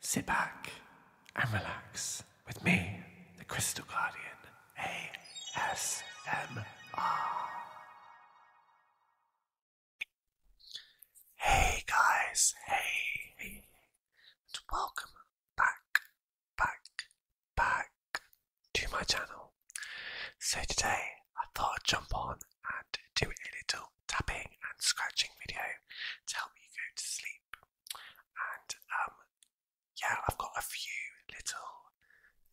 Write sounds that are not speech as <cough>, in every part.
Sit back and relax with me, the Crystal Guardian ASMR. Hey guys, hey, hey, and welcome back, back, back to my channel. So today I thought I'd jump on and do a little tapping and scratching video to help you go to sleep. And um, yeah, I've got a few little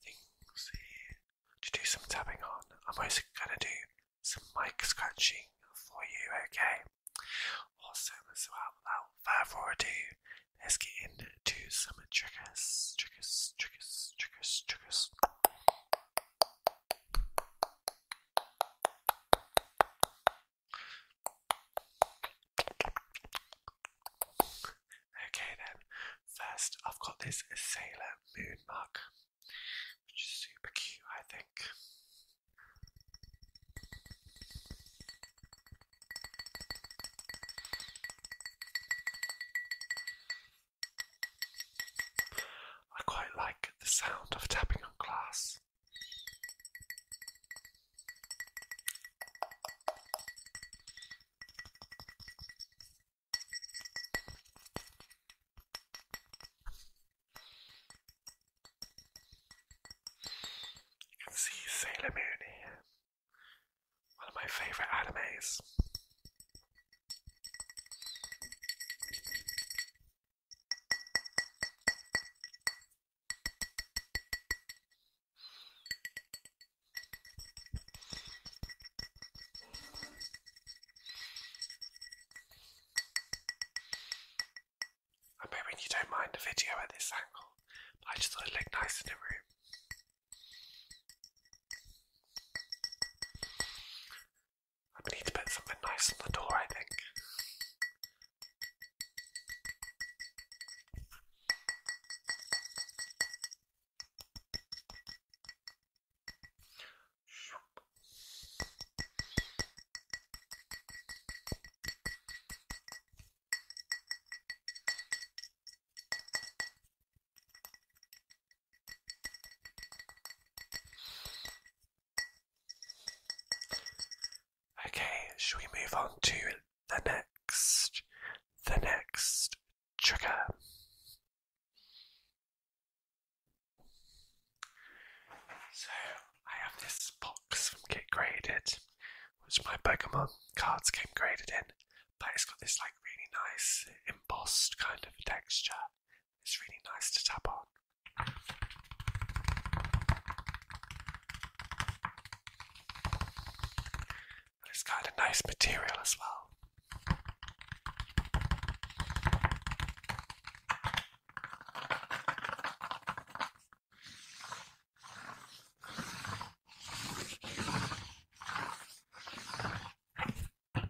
things here to do some tapping on. I'm also going to do some mic scratching for you, okay? Awesome as well. Without further ado, let's get into some triggers, triggers, triggers, triggers, triggers. Okay then, first I've got this Sailor Moon mug, which is super cute, I think. I quite like the sound of tapping on glass. I can see Sailor Moon here, one of my favourite animes. I'm hoping you don't mind the video at this angle, but I just thought it looked nice in the room i need to put something nice on the door, I think. Okay, shall we move on to the next, the next trigger? So I have this box from Get Graded, which my Pokemon cards came graded in, but it's got this like really nice embossed kind of texture. It's really nice to tap on. And it's kind of nice material as well. I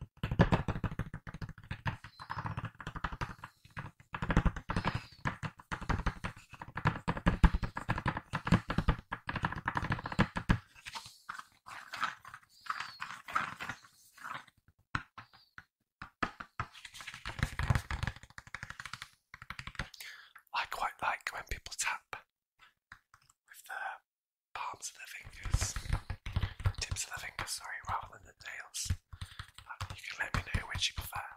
quite like when people tap with the palms of their fingers tips of the fingers, sorry, rather than the nails. Um, you can let me know which you prefer.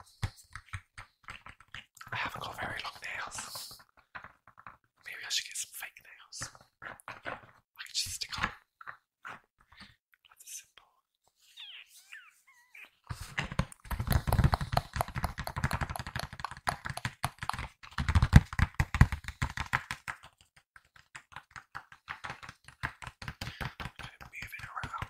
I haven't got very long nails. Maybe I should get some fake nails. I can just stick on and move it around.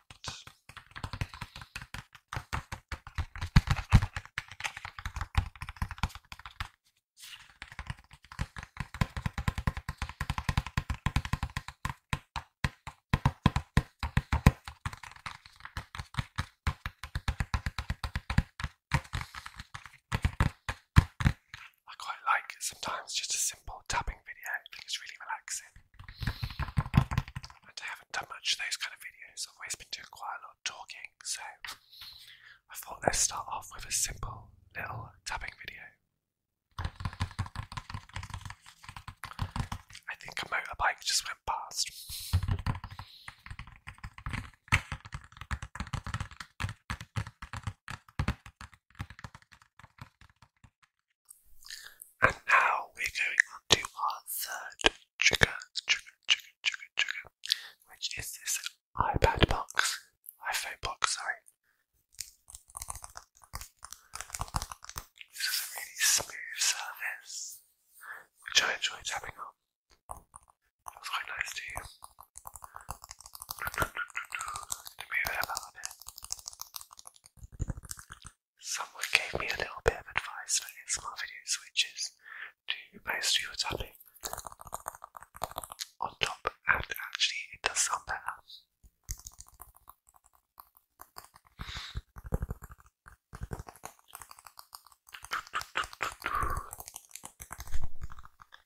I quite like sometimes just a simple tapping video. I think it's really relaxing. I haven't done much those kind of videos. always been doing quite a lot of talking, so I thought let's start off with a simple little tapping video. I think a motorbike just went past. And now we're going on to our third trigger, trigger, trigger, trigger, trigger, which is this iPad box, iPhone box, sorry. This is a really smooth surface, which I enjoy tapping on. Someone gave me a little bit of advice for ASMR videos, which is do most of your tapping on top, and actually, it does sound better.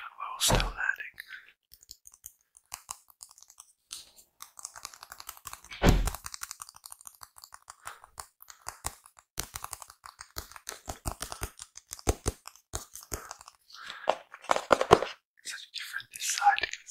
well, still landing. Such a different design to the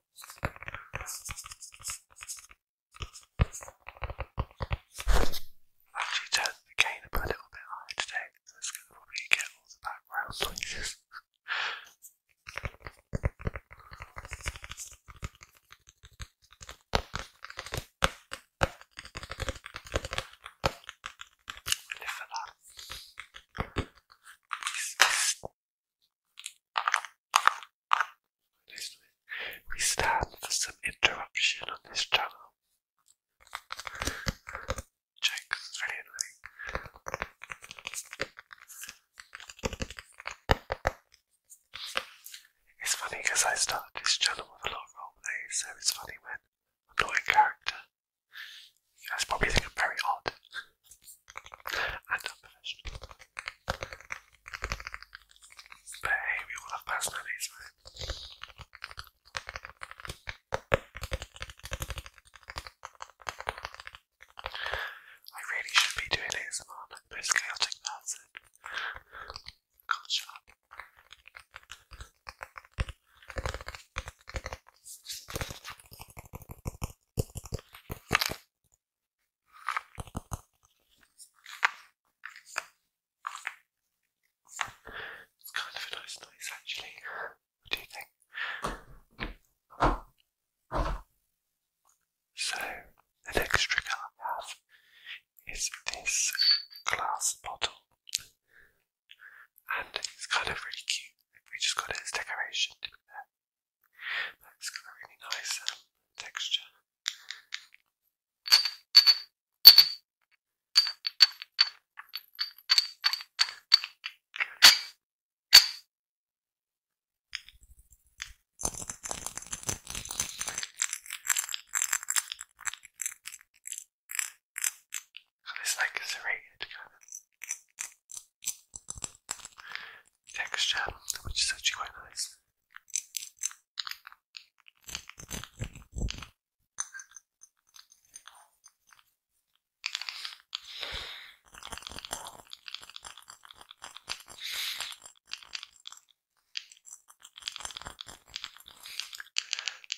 Actually turned the cane up a little bit higher today, so it's going to get all the background noises. I for that. We stand for some interruption on this channel. it's funny because I started this channel with a lot of roleplay, so it's funny when I'm not in character. You guys probably think I'm very odd and unprofessional. But hey, we all have personalities, right? I really should be doing ASMR, I'm the most chaotic person. God, shut up. It's kind of a nice noise actually. What do you think? So, the next trick I have is this glass bottle. And it's kind of really cute. We just got it as decoration, that's got a really nice um, texture. it's like a serrated kind of texture, which is actually quite nice.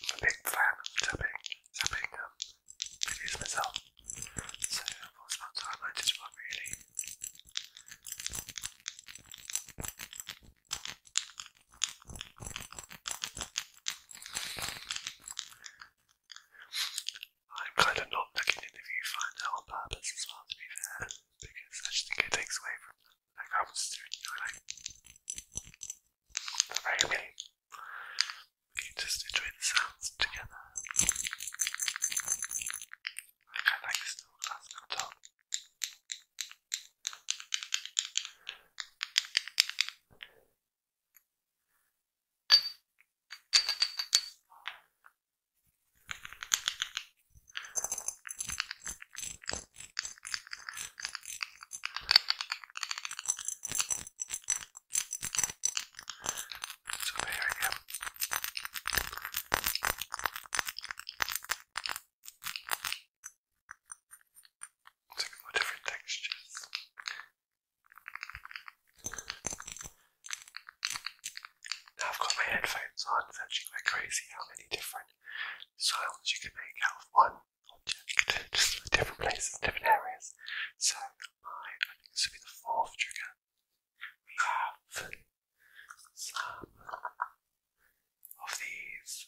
I'm a big fan of tapping, um, videos myself. So what's about time I did one really. I'm kind of not looking in the viewfinder on purpose as well to be fair, because I just it takes away from the background like, we just enjoy the sounds together. Like I like this little glass on so there we go. It's like a different textures. Now I've got my headphones on, it's actually quite crazy how many different sounds you can make out of one object. Just different places, different areas. So this will be the fourth trigger. We have some of these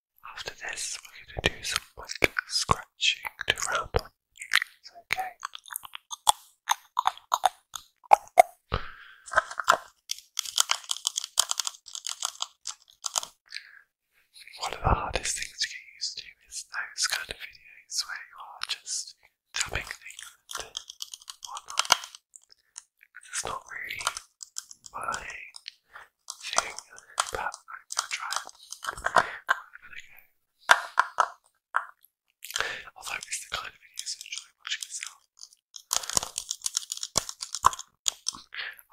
After this, we're going to do some like scratching to round on. okay. One of the hardest things to get used to is those kind of videos where you are just tapping things it's not really I'm Although it's the kind of videos I enjoy watching myself.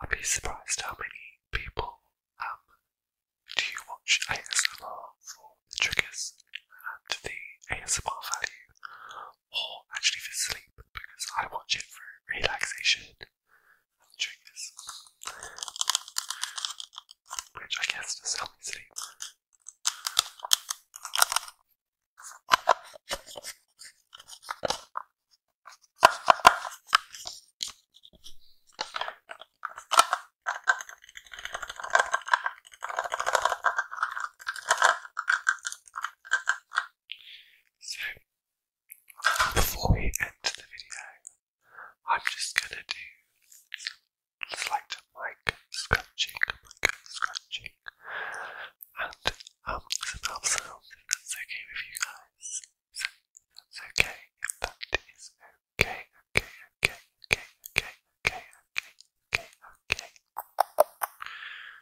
I'd be surprised how many people um do you watch ASMR for the triggers and the ASMR value or oh, actually for sleep because I watch it for relaxation and triggers, which I guess does help me sleep before we end the video, I'm just gonna do some light mic scratching, mic scratching, and um, some sounds if okay with you guys. So okay, okay, okay, okay, okay, okay, okay, okay, okay.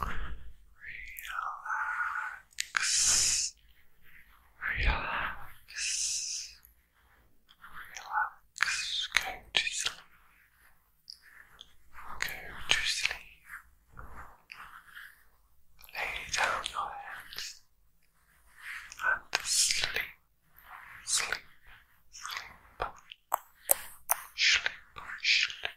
Relax. Relax. Relax. Go to sleep. Go to sleep. Lay down your heads and sleep. Sleep. Sleep. Sleep. Sleep.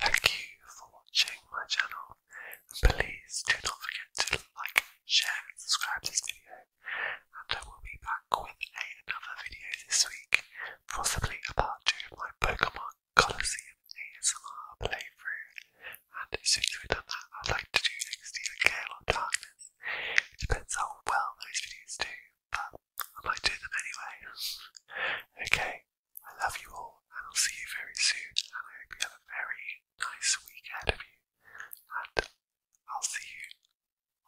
Thank you for watching my channel and please do not forget to like, share and subscribe to this video and I will be back with another video this week, possibly a part 2 of my Pokemon Colosseum ASMR playthrough and as soon as we've done that I'd like to do next year Gale on Darkness. It depends how well those videos do, but I might do them anyway. <laughs> okay, I love you all, and I'll see you very soon. And I hope you have a very nice week ahead of you. And I'll see you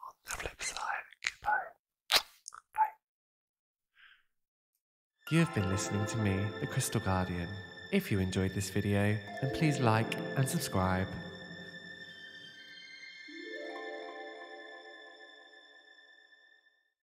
on the flip side. Goodbye. Bye. You have been listening to me, The Crystal Guardian. If you enjoyed this video, then please like and subscribe.